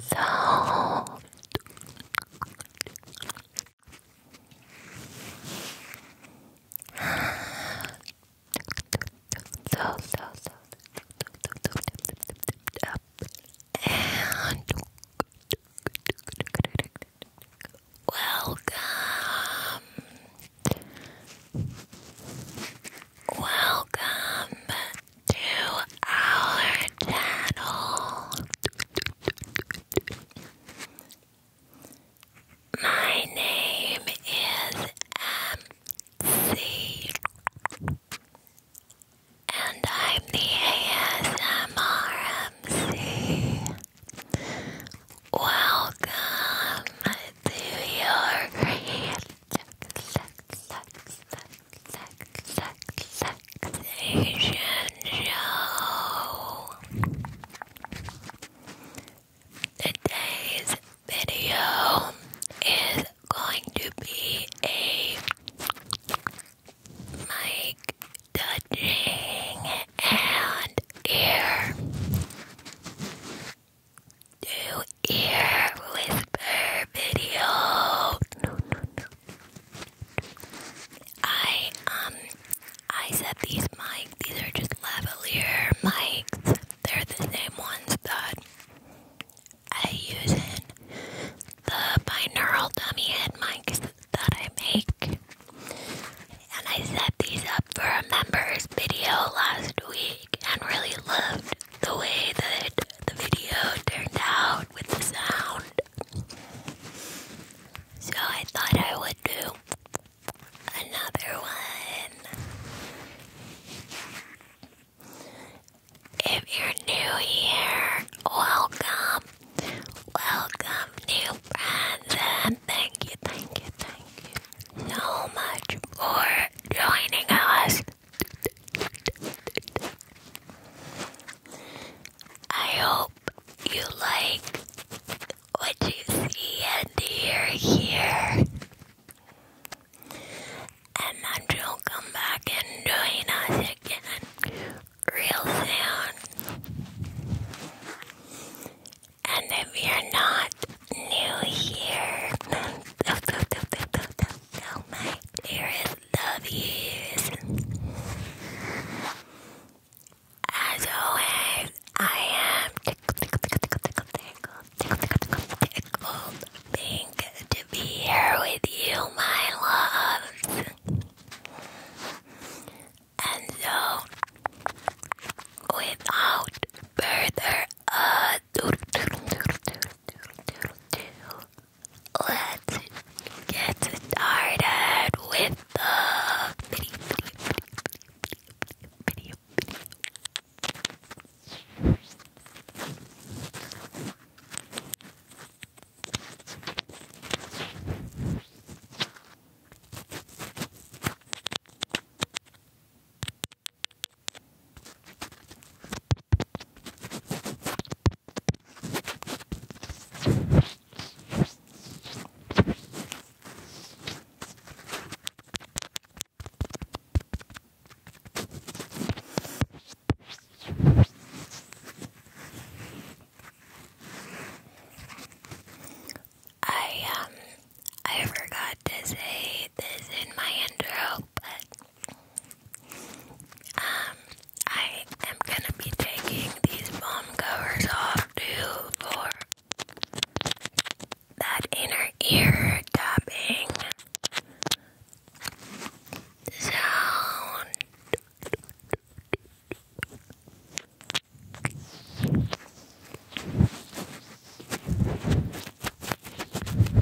So so, so, so, up welcome. Welcome to our channel. My name is MC, and I'm the ASMR Welcome to your Today's video is going to be a mic touching and ear do ear whisper video. No, no, no. I um I said these mics. These are just lavalier mics. They're the same ones that I use in the binaural dummy head mics that I make. And I set these up for a members video last week and really loved the way that the video turned out with the sound. So I thought I would do another one. If you're new here, welcome. Welcome, new friends, and thank you, thank you, thank you so much for joining us. I hope you like what you see and hear here. And that you'll come back and join us again real soon. And if you're not, New Year. Tell, my dearest love yous. As always, I am tickled, tickled, tickled, tickled, tickled, tickled, tickled, tickled, tickled, to be here with you, my loves. And so, without further ado, Let's get started with the video, I um I forgot to say this in my intro, but um, I am gonna be taking these bomb covers off too for that inner ear tapping sound.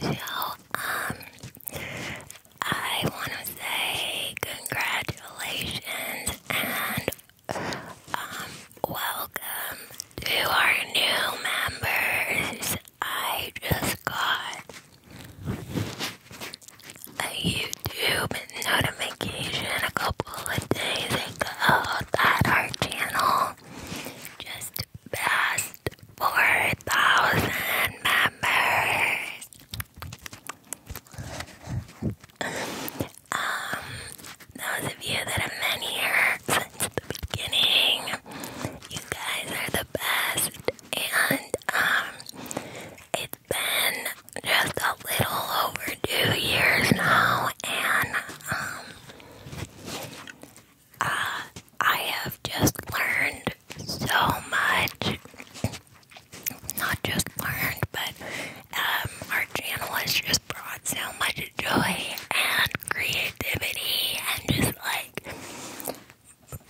So, um, I want to say congratulations and um, welcome to our new members. I just got a YouTube notification a couple of days ago that our channel just passed 4,000 members. Um, those of you that have been here since the beginning, you guys are the best. And um, it's been just a little over two years now, and um, uh, I have just learned so much not just learned, but um, our channel has just brought so much joy and creativity and just like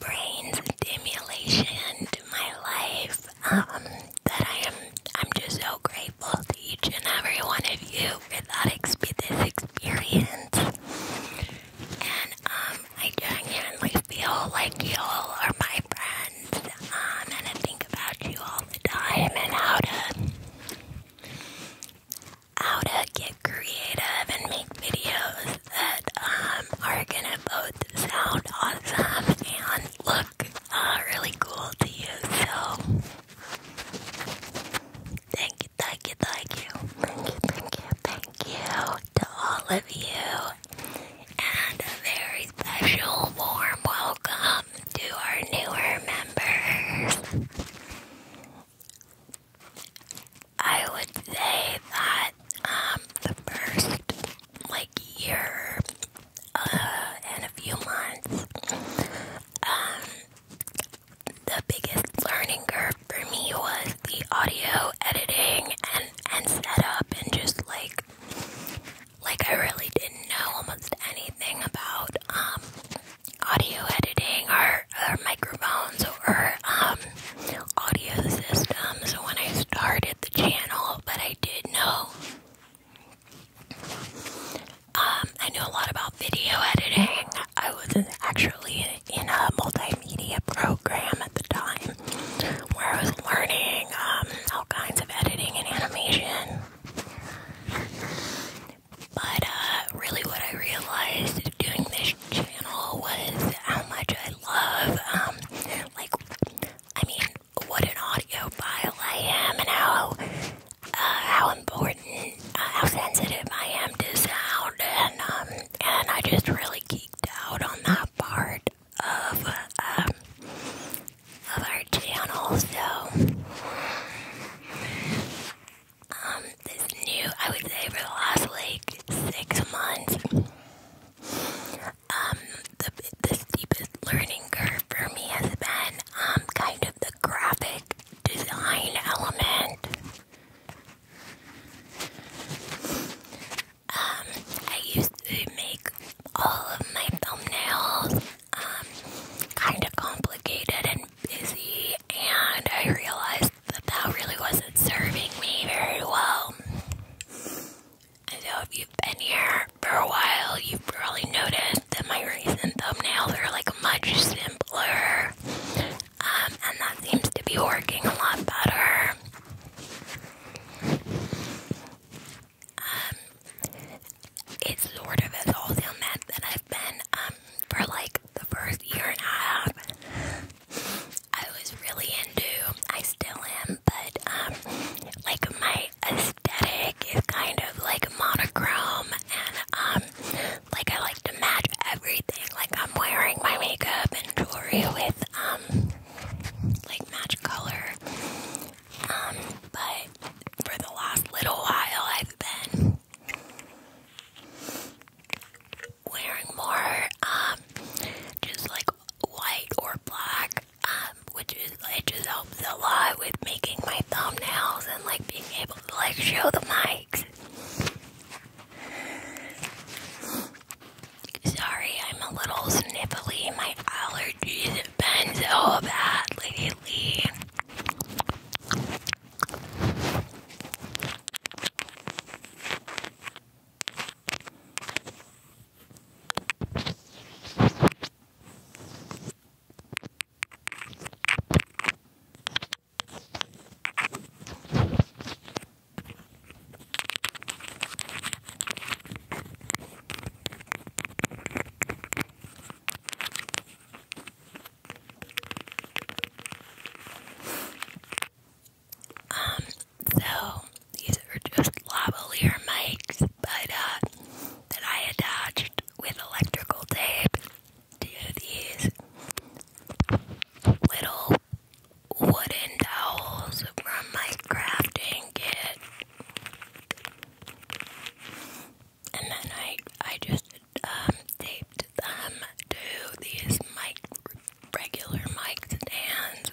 brain stimulation to my life um, that I am. I'm just so grateful to each and every one of you for that this experience, and um, I genuinely feel like you all are my friends and I think about you all the time and how to how to get creative and make videos that um, are gonna both sound awesome and look uh, really cool to you. So thank you, thank you, thank you, thank you, thank you, thank you to all of you, and a very special warm welcome to our newer members. I would say that um, the first like year uh, and a few months, um, the biggest learning curve for me was the audio editing and and setup and just like like I really didn't know almost anything about um, audio editing or, or microphones or um, audio systems when I started the channel, but I did know um, I knew a lot about video editing. I was not actually in a multimedia program at the time where I was learning um, all kinds of editing and animation. But uh, really, what I realized doing this channel was how much I love, um, like, I mean, what an audiophile I am, and how uh, how important, uh, how sensitive I am to sound, um, and I just really geeked out on that part of um, of our channel. So um, this new, I would say, for the last like six months, um, the the steepest learning curve for me has been um kind of the graphic design element. Um, I used to make all of my thumbnails um, kind of complicated and busy, and I realized that that really wasn't serving me very well. And so, if you've been here for a while, you've probably noticed that my recent thumbnails are like much simpler, um, and that seems to be working a lot better. Um, it's sort of a wholesale mess that I've been um for like the first year and a half. I was really into, I still am, but um, like my aesthetic is kind of like monochrome, and um, like I like to match everything. Like I'm wearing my makeup and jewelry with um, like match color. Um, but for the last little while, I've been wearing more, um, just like white or black, um, which is, it just helps a lot with making my thumbnails and like being able to like show the mics. Sorry, I'm a little sniffly. My allergies have been so bad lately. Um, so these are just lavalier mics, but uh, that I attached with electrical tape to these little wooden dowels from my crafting kit. And then I I just um, taped them to these mic regular mic stands.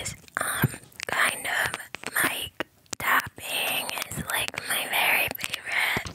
is um kind of like tapping is like my very favorite.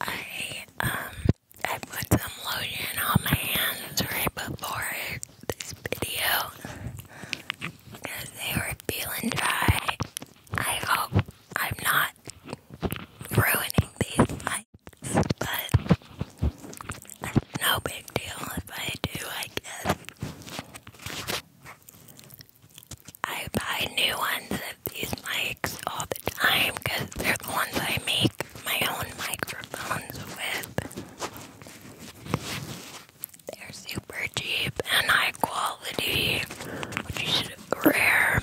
I um I put some lotion on my hands right before this video because they were feeling dry. I hope I'm not ruining these but it's no big deal if I do, I guess. I buy new ones of these mics all the time because they're the ones I make my own microphones with. They're super cheap and high quality, which is rare.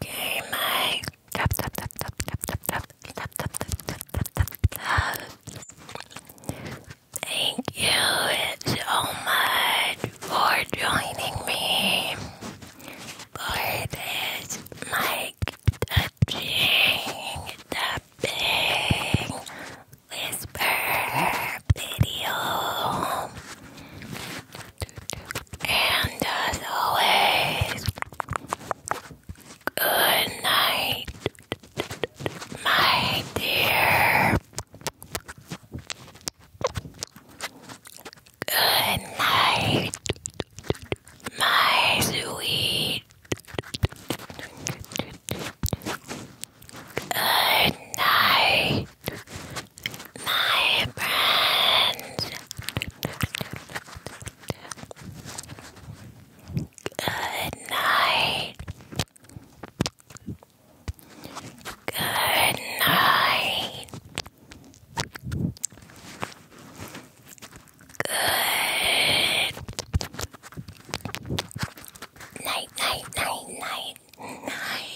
Okay, my Thank you so much for joining me for this mic touching, tapping, whisper video. And as always, good night, my dear. Good night, my sweet. Good night, my friends. Good night, Good night. Good night, night, night, night, night.